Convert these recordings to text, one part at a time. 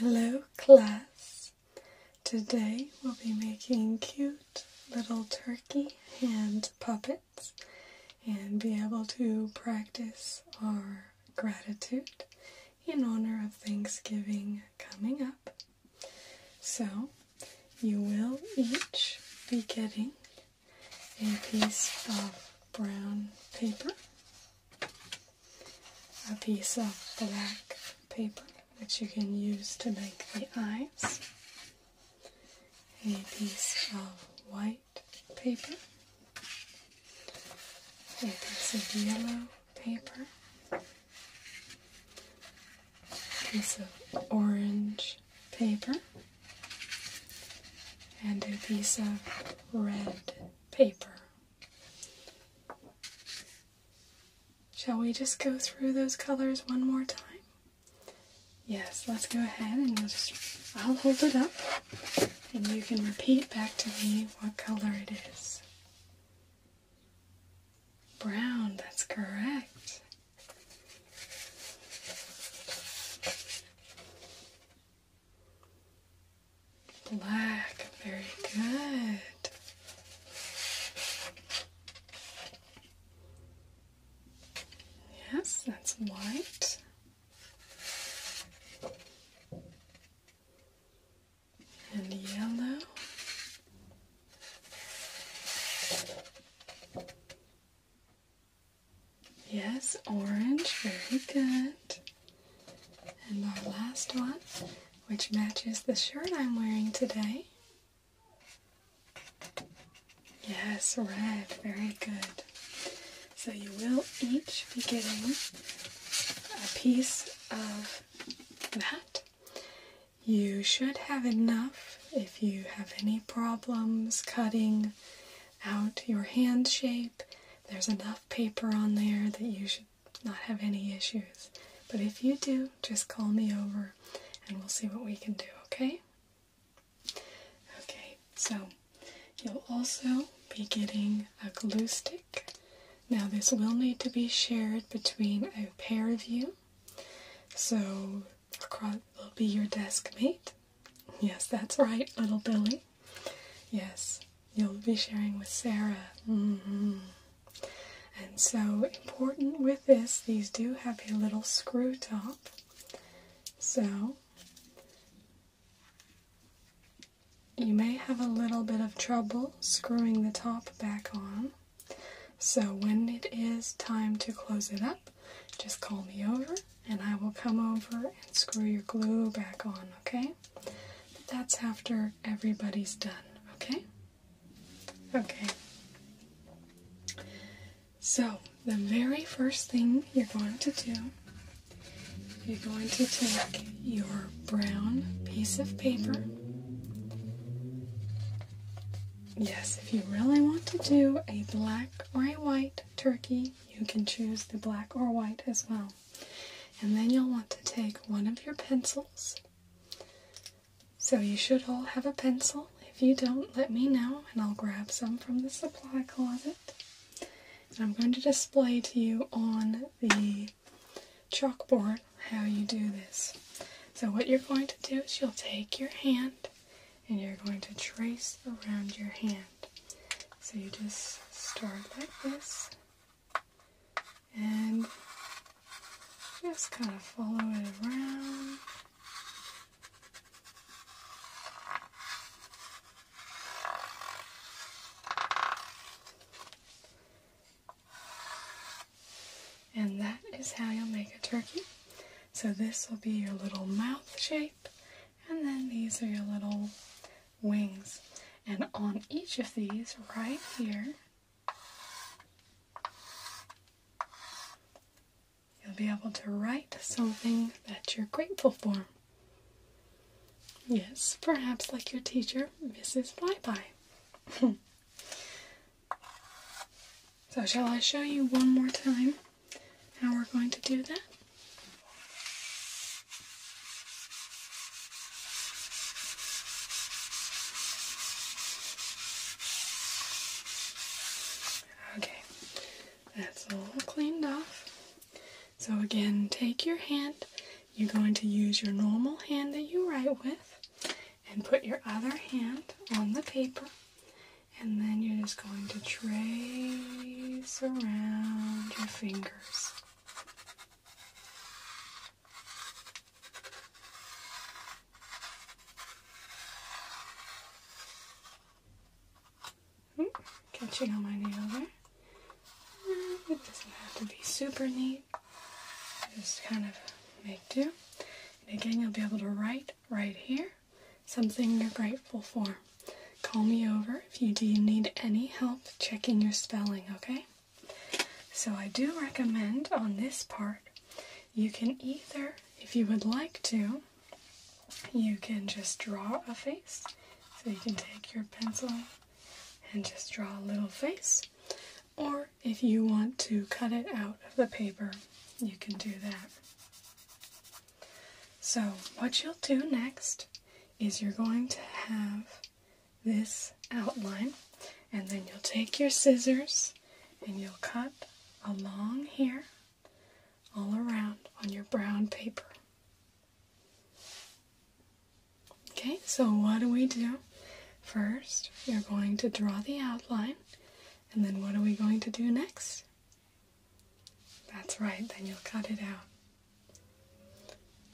Hello class. Today we'll be making cute little turkey hand puppets and be able to practice our gratitude in honor of Thanksgiving coming up. So, you will each be getting a piece of brown paper, a piece of black paper, which you can use to make the eyes, a piece of white paper, a piece of yellow paper, piece of orange paper, and a piece of red paper. Shall we just go through those colors one more time? Yes, let's go ahead and I'll hold it up and you can repeat back to me what color it is. Brown, that's correct. Black, very good. Yes, that's white and yellow. Yes, orange, very good. And our last one, which matches the shirt I'm wearing today. Yes, red, very good. So you will each be getting a piece of that you should have enough if you have any problems cutting out your hand shape. There's enough paper on there that you should not have any issues. But if you do, just call me over and we'll see what we can do, okay? Okay, so you'll also be getting a glue stick. Now, this will need to be shared between a pair of you. So, across will be your desk mate. Yes, that's right, little Billy. Yes, you'll be sharing with Sarah. Mm-hmm. And so, important with this, these do have a little screw top. So, you may have a little bit of trouble screwing the top back on. So, when it is time to close it up, just call me over and I will come over and screw your glue back on, okay? that's after everybody's done, okay? Okay. So, the very first thing you're going to do, you're going to take your brown piece of paper. Yes, if you really want to do a black or white turkey, you can choose the black or white as well. And then you'll want to take one of your pencils. So you should all have a pencil. If you don't, let me know and I'll grab some from the supply closet. I'm going to display to you on the chalkboard how you do this. So, what you're going to do is you'll take your hand and you're going to trace around your hand. So, you just start like this and just kind of follow it around. And that is how you'll make a turkey. So this will be your little mouth shape, and then these are your little wings. And on each of these, right here, you'll be able to write something that you're grateful for. Yes, perhaps like your teacher, Mrs. Flyby. so shall I show you one more time how we're going to do that? Okay, that's all cleaned off. So again, take your hand you're going to use your normal hand that you write with and put your other hand on the paper, and then you're just going to trace around your fingers. Catching on my nail there. It doesn't have to be super neat. Just kind of make do. again, you'll be able to write right here something you're grateful for. Call me over if you do need any help checking your spelling, okay? So I do recommend on this part, you can either, if you would like to, you can just draw a face. So you can take your pencil and just draw a little face. Or if you want to cut it out of the paper, you can do that. So, what you'll do next is you're going to have this outline, and then you'll take your scissors and you'll cut along here all around on your brown paper. Okay, so what do we do? First, you're going to draw the outline, and then what are we going to do next? That's right, then you'll cut it out.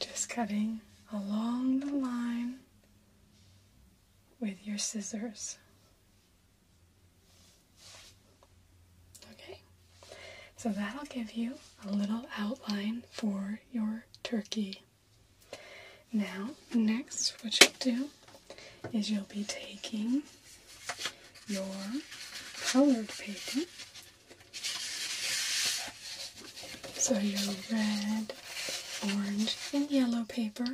Just cutting along the line with your scissors. Okay, so that'll give you a little outline for your turkey. Now, next, what you'll do is you'll be taking your colored paper. So, your red, orange, and yellow paper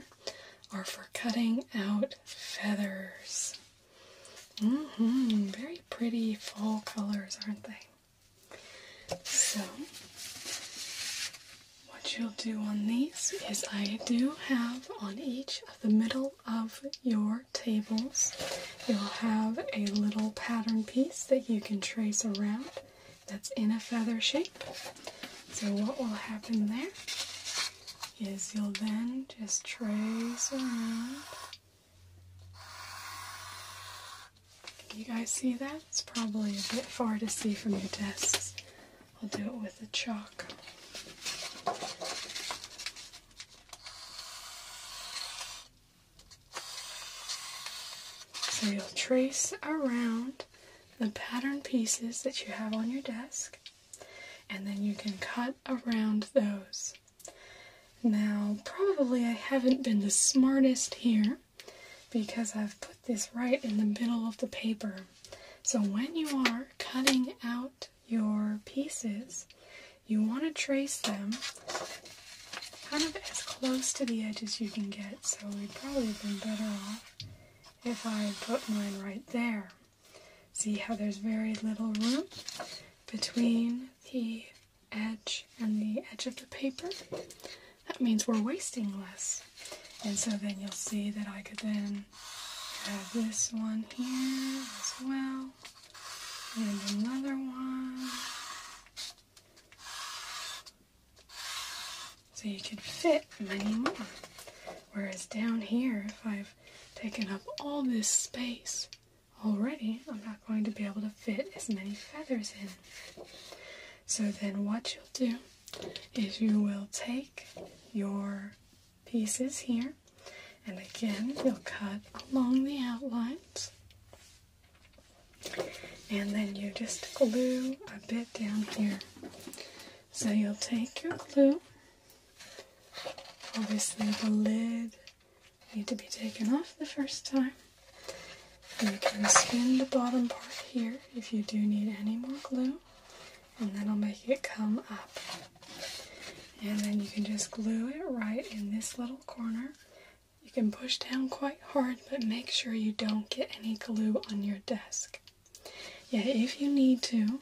are for cutting out feathers. Mm hmm very pretty fall colors, aren't they? So, what you'll do on these is I do have on each of the middle of your tables, you'll have a little pattern piece that you can trace around that's in a feather shape. So, what will happen there is you'll then just trace around can you guys see that? It's probably a bit far to see from your desks. I'll do it with the chalk. So you'll trace around the pattern pieces that you have on your desk and then you can cut around those. Now, probably I haven't been the smartest here because I've put this right in the middle of the paper. So when you are cutting out your pieces, you want to trace them kind of as close to the edge as you can get. So we'd probably have been better off if I put mine right there. See how there's very little room between the edge and the edge of the paper, that means we're wasting less. And so then you'll see that I could then have this one here as well, and another one. So you could fit many more. Whereas down here, if I've taken up all this space, already I'm not going to be able to fit as many feathers in. So then what you'll do is you will take your pieces here and again you'll cut along the outlines and then you just glue a bit down here. So you'll take your glue, obviously the lid need to be taken off the first time. You can spin the bottom part here if you do need any more glue, and that'll make it come up. And then you can just glue it right in this little corner. You can push down quite hard, but make sure you don't get any glue on your desk. Yeah, if you need to,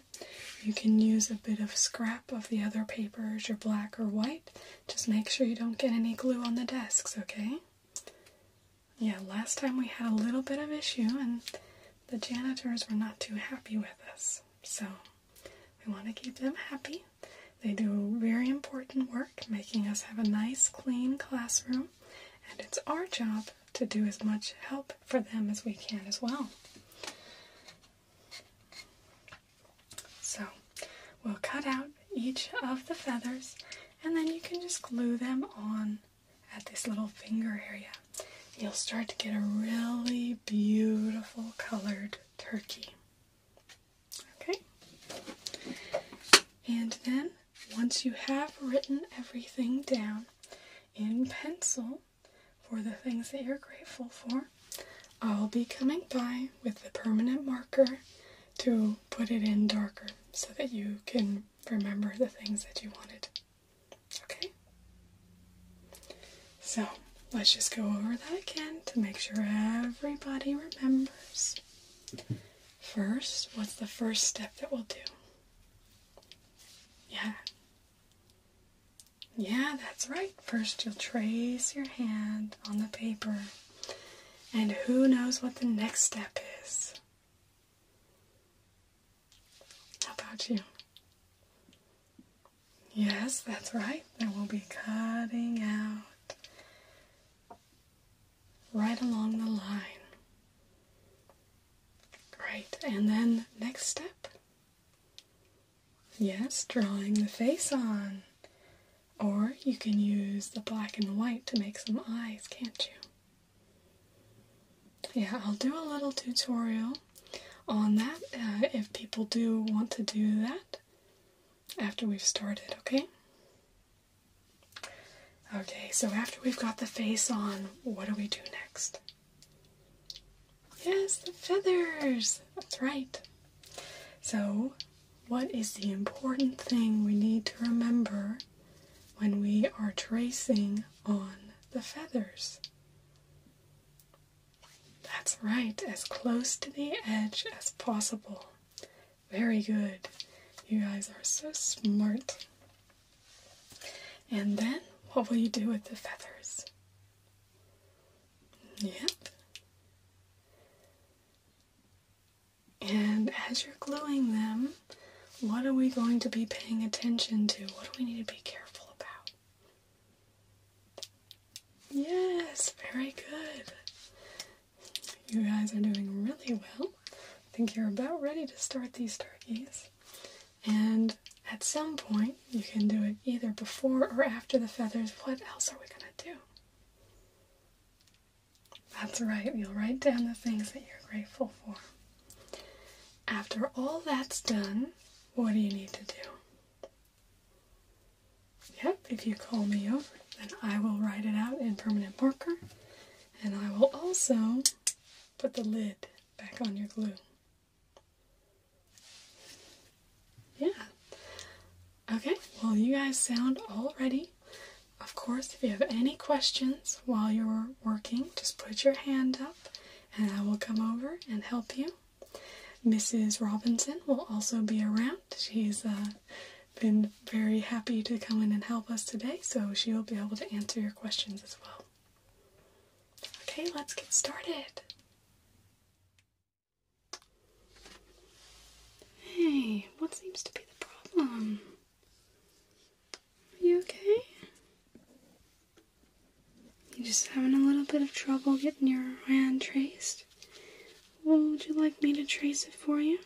you can use a bit of scrap of the other papers, your black or white, just make sure you don't get any glue on the desks, okay? Yeah, last time we had a little bit of issue and the janitors were not too happy with us. So we want to keep them happy. They do very important work, making us have a nice, clean classroom, and it's our job to do as much help for them as we can as well. So we'll cut out each of the feathers and then you can just glue them on at this little finger area. You'll start to get a really beautiful colored turkey. Okay? And then once you have written everything down in pencil for the things that you're grateful for, I'll be coming by with the permanent marker to put it in darker so that you can remember the things that you wanted. Okay? So let's just go over that again to make sure everybody remembers. First, what's the first step that we'll do? Yeah. Yeah, that's right. First, you'll trace your hand on the paper, and who knows what the next step is? How about you? Yes, that's right. There will be cutting out right along the line. Great, and then next step. Yes, drawing the face on. Or you can use the black and white to make some eyes, can't you? Yeah, I'll do a little tutorial on that uh, if people do want to do that after we've started, okay? Okay, so after we've got the face on, what do we do next? Yes, the feathers! That's right. So, what is the important thing we need to remember when we are tracing on the feathers? That's right, as close to the edge as possible. Very good. You guys are so smart. And then, what will you do with the feathers? Yep. And as you're gluing them, what are we going to be paying attention to? What do we need to be careful about? Yes, very good. You guys are doing really well. I think you're about ready to start these turkeys. And at some point, you can do it either before or after the feathers. What else are we going to do? That's right, you'll write down the things that you're grateful for. After all that's done, what do you need to do? Yep, if you call me over, then I will write it out in permanent marker and I will also put the lid back on your glue. Yeah. Okay, well, you guys sound all ready. Of course, if you have any questions while you're working, just put your hand up and I will come over and help you. Mrs. Robinson will also be around. She's uh, been very happy to come in and help us today, so she will be able to answer your questions as well. Okay, let's get started. Hey, what seems to be the problem? Are you okay? You just having a little bit of trouble getting your hand traced? would you like me to trace it for you?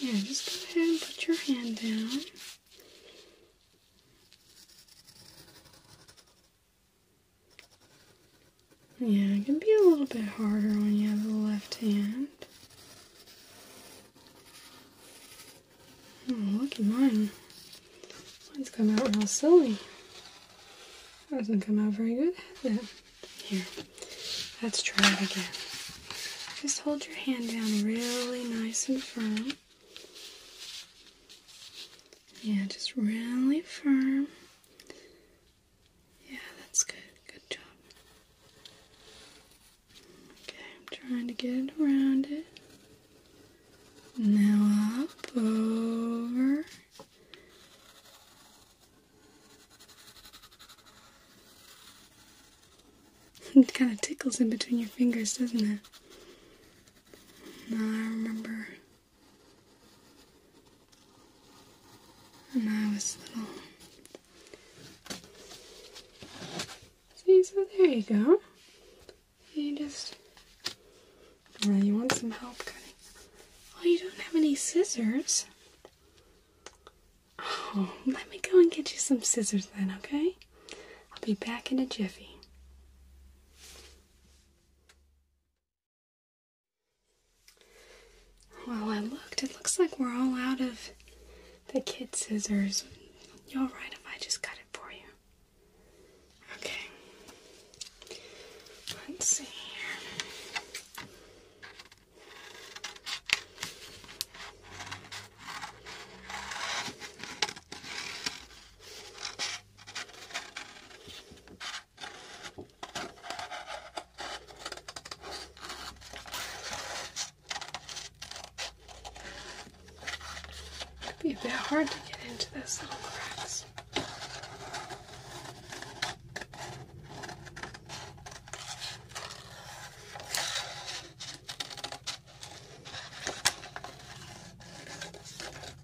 Yeah, just go ahead and put your hand down. Yeah, it can be a little bit harder when you have a left hand. Oh, look at mine. Mine's come out real silly. That doesn't come out very good, Here, let's try it again. Just hold your hand down really nice and firm. Yeah, just really firm. Yeah, that's good. Good job. Okay, I'm trying to get it around it. Now I'll over. it kind of tickles in between your fingers, doesn't it? No, I remember and I was little. See, so there you go. You just. Well, you want some help cutting. Oh, you don't have any scissors. Oh, let me go and get you some scissors then, okay? I'll be back in a jiffy. Well, I looked. It looks like we're all out of the kid scissors. You all right if I just cut it for you? Okay. Let's see here. It'd be a bit hard to get into those little cracks.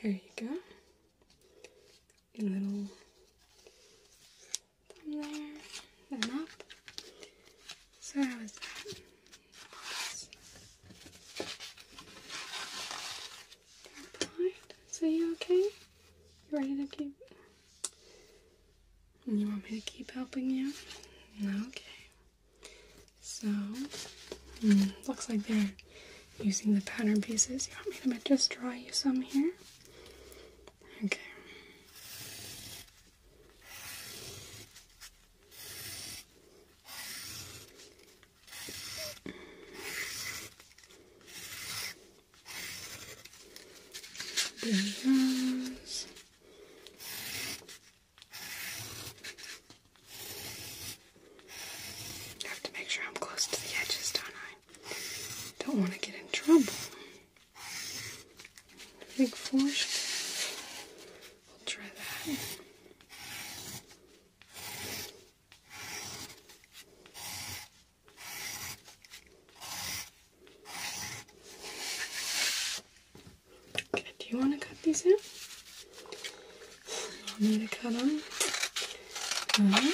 There you go. A little thumb there, So that was that. So you okay? You ready to keep you want me to keep helping you? Okay. So, hmm, looks like they're using the pattern pieces. You want me to just draw you some here? Okay. I have to make sure I'm close to the edges, don't I? Don't want to get in trouble. Big force. i will try that do you want to cut these out? i want me to cut them? Okay.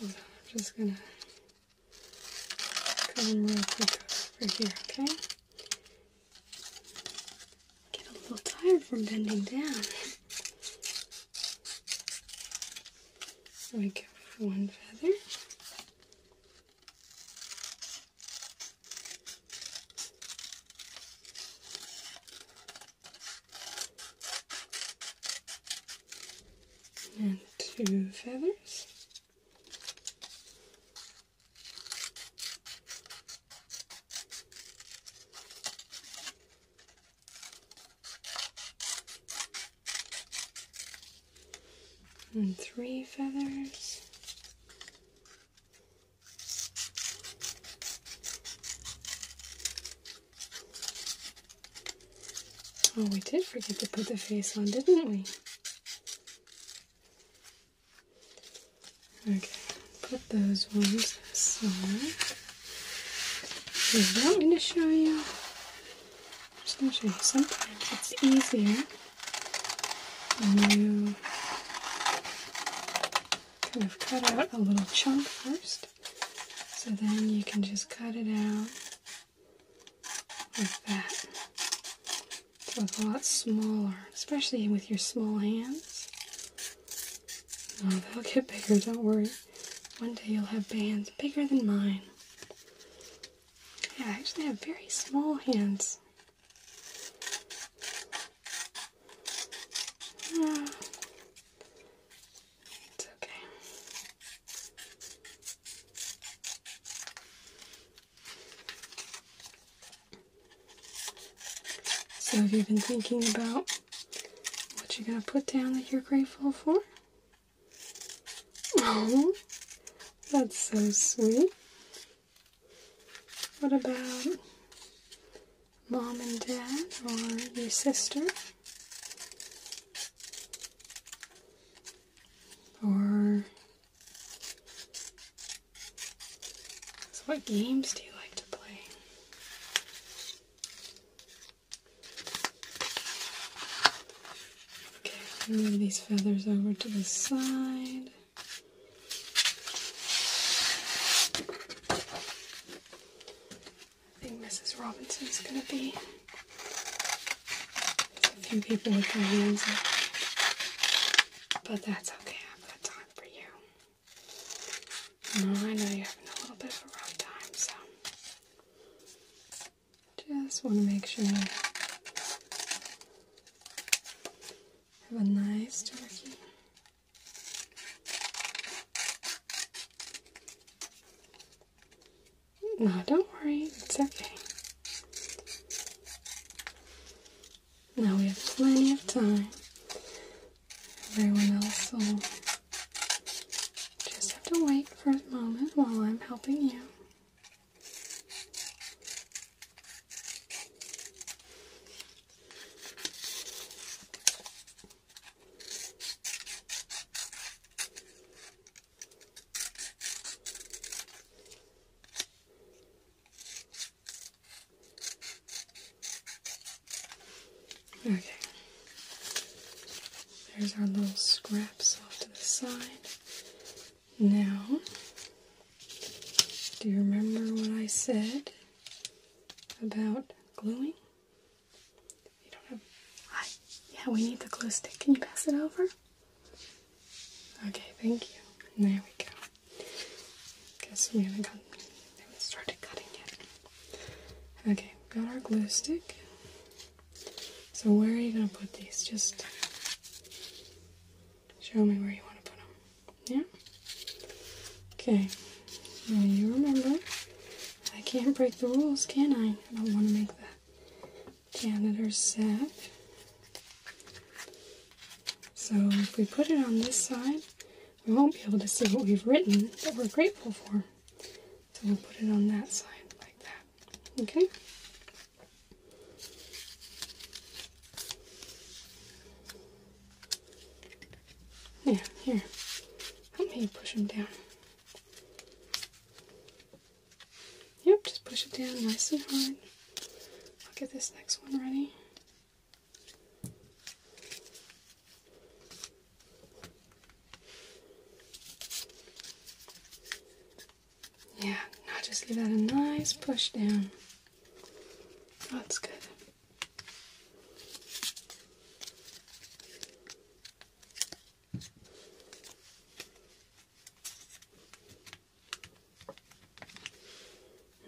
I'm just gonna cut them real quick over here, okay? Get a little tired from bending down. There we go one feather. And two feathers and three feathers. Oh, we did forget to put the face on, didn't we? Okay, put those ones aside. There's one to show you. I'm gonna show you sometimes it's easier when you kind of cut out a little chunk first. So then you can just cut it out like that. it's a lot smaller, especially with your small hands. No, oh, they'll get bigger, don't worry. One day you'll have bands bigger than mine. Yeah, I actually have very small hands. Ah. okay. So have you been thinking about what you're going to put down that you're grateful for? Oh, that's so sweet. What about mom and dad or your sister? Or what games do you like to play? Okay, move these feathers over to the side. I think Mrs. Robinson's gonna be. There's a few people with their hands up, but that's okay. I've got time for you. I know you're having a little bit of a rough time, so just want to make sure you have a nice turkey. No, don't worry, it's okay. Now we have plenty of time. Everyone else will just have to wait for a moment while I'm helping you. Okay. There's our little scraps off to the side. Now, do you remember what I said about gluing? You don't have. yeah, we need the glue stick. Can you pass it over? Okay, thank you. And there we go. Guess we haven't started cutting yet. Okay, got our glue stick. So where are you gonna put these? Just show me where you want to put them. Yeah. Okay. you remember, I can't break the rules, can I? I don't want to make the janitor sad. So if we put it on this side, we won't be able to see what we've written that we're grateful for. So we'll put it on that side like that. Okay? Yeah, here. Help me push them down. Yep, just push it down nice and hard. I'll get this next one ready. Yeah, now just give that a nice push down. Oh, that's good.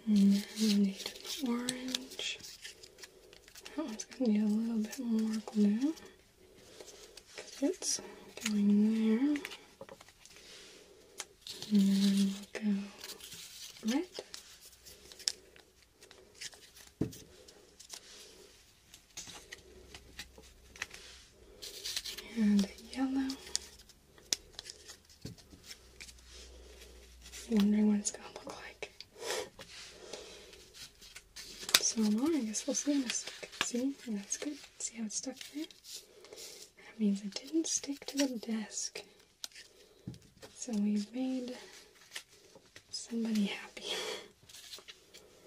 And orange. That one's gonna need a little bit more glue it's going there. And then we'll go red. And yellow. I'm wondering what it's gonna look like. So no, I guess we'll see how it stuck. See? that's good. See how it's stuck there? That means it didn't stick to the desk. So we've made somebody happy.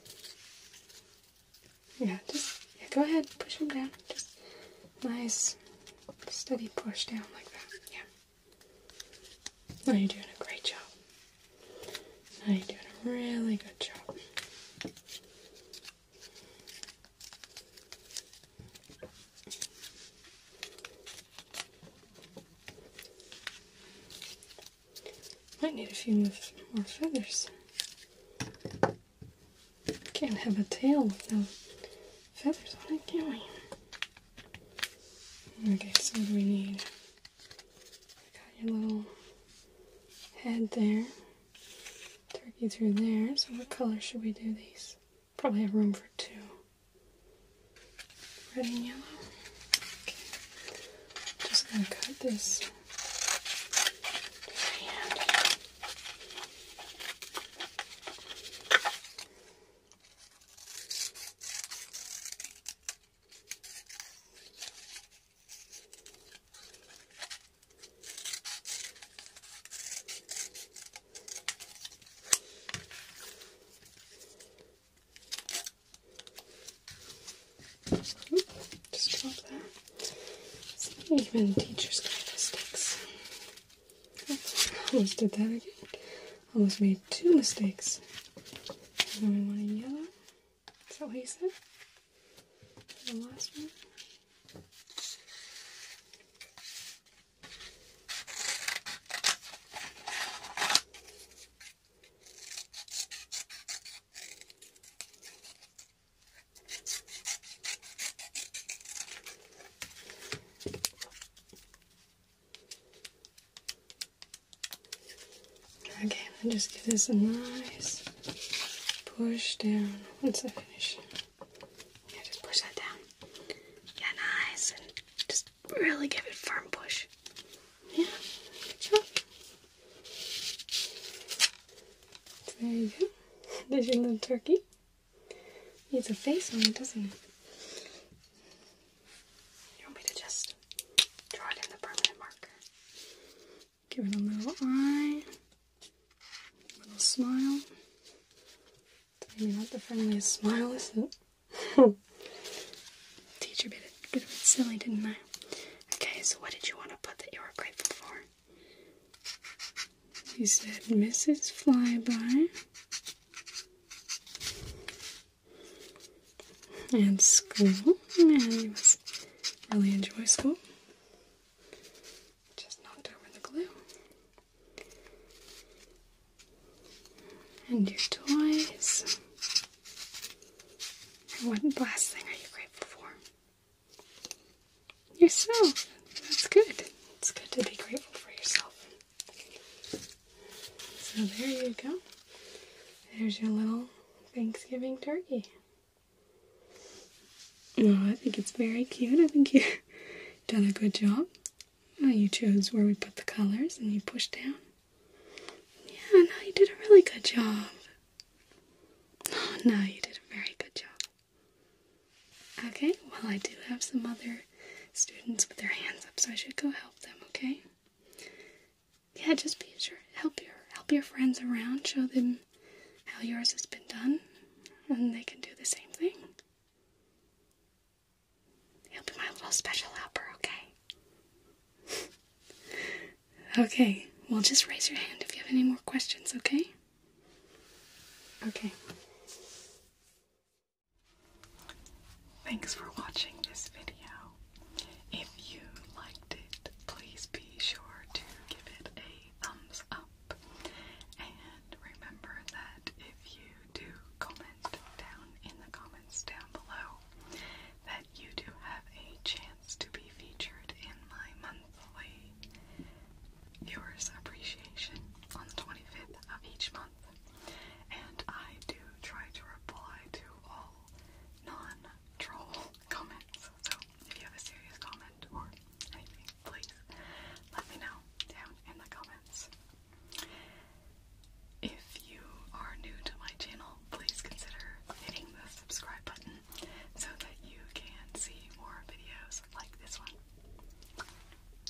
yeah, just go ahead, push them down. Nice steady push down like that. Yeah. Now you're doing a great job. Now you're doing a really good job. Might need a few more feathers. Can't have a tail with no feathers on it, can we? Okay, so what do we need? We got your little head there. Turkey through there. So what color should we do these? Probably a room for two. Red and yellow. Okay. Just gonna cut this. Just drop that. It's not even teacher's guide sticks. Oops, almost did that again. Almost made two mistakes. I then we want a yellow. Is that what you said? The last one. Okay, let will just give this a nice push down once I finish. Yeah, just push that down. Yeah, nice. And just really give it firm push. Yeah, There you go. There's your little turkey. He has a face on it, doesn't he? You want me to just draw it in the permanent marker? Give it a little eye, a little smile. Maybe not the friendliest smile, is not it? Teacher bit a, bit of it silly, didn't I? Okay, so what did you want to put that you were grateful for? He said, Mrs. Flyby. And school. And he was really enjoy school. Just knocked over the glue. And your toys. And what last thing are you grateful for? yourself. That's good. It's good to be grateful for yourself. So there you go. There's your little Thanksgiving turkey. Oh, I think it's very cute. I think you done a good job. Well, you chose where we put the colors and you pushed down. Yeah, now you did a really good job. Oh, no, you did a very good job. Okay, well, I do have some other students with their hands up, so I should go help them, okay? Yeah, just be sure help your help your friends around, show them how yours has been done, and they can do the same thing. You'll be my little special helper, okay? okay, well, just raise your hand if you have any more questions, okay? Okay. Thanks for watching this video. If you liked it, please be sure to give it a thumbs up. And remember that if you do comment down in the comments down below, that you do have a chance to be featured in my monthly viewers' appreciation on the 25th of each month, and I do try to reply to all non troll comments. So if you have a serious comment or anything, please let me know down in the comments. If you are new to my channel, please consider hitting the subscribe button so that you can see more videos like this one.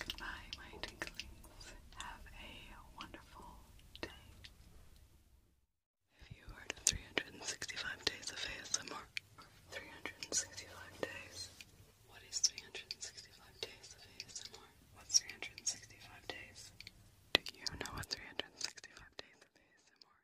Goodbye, my tinklings. Have a wonderful day. If you heard of 365 days of ASMR, 365 days. What is 365 days of ASMR? What's 365 days? Do you know what 365 days of ASMR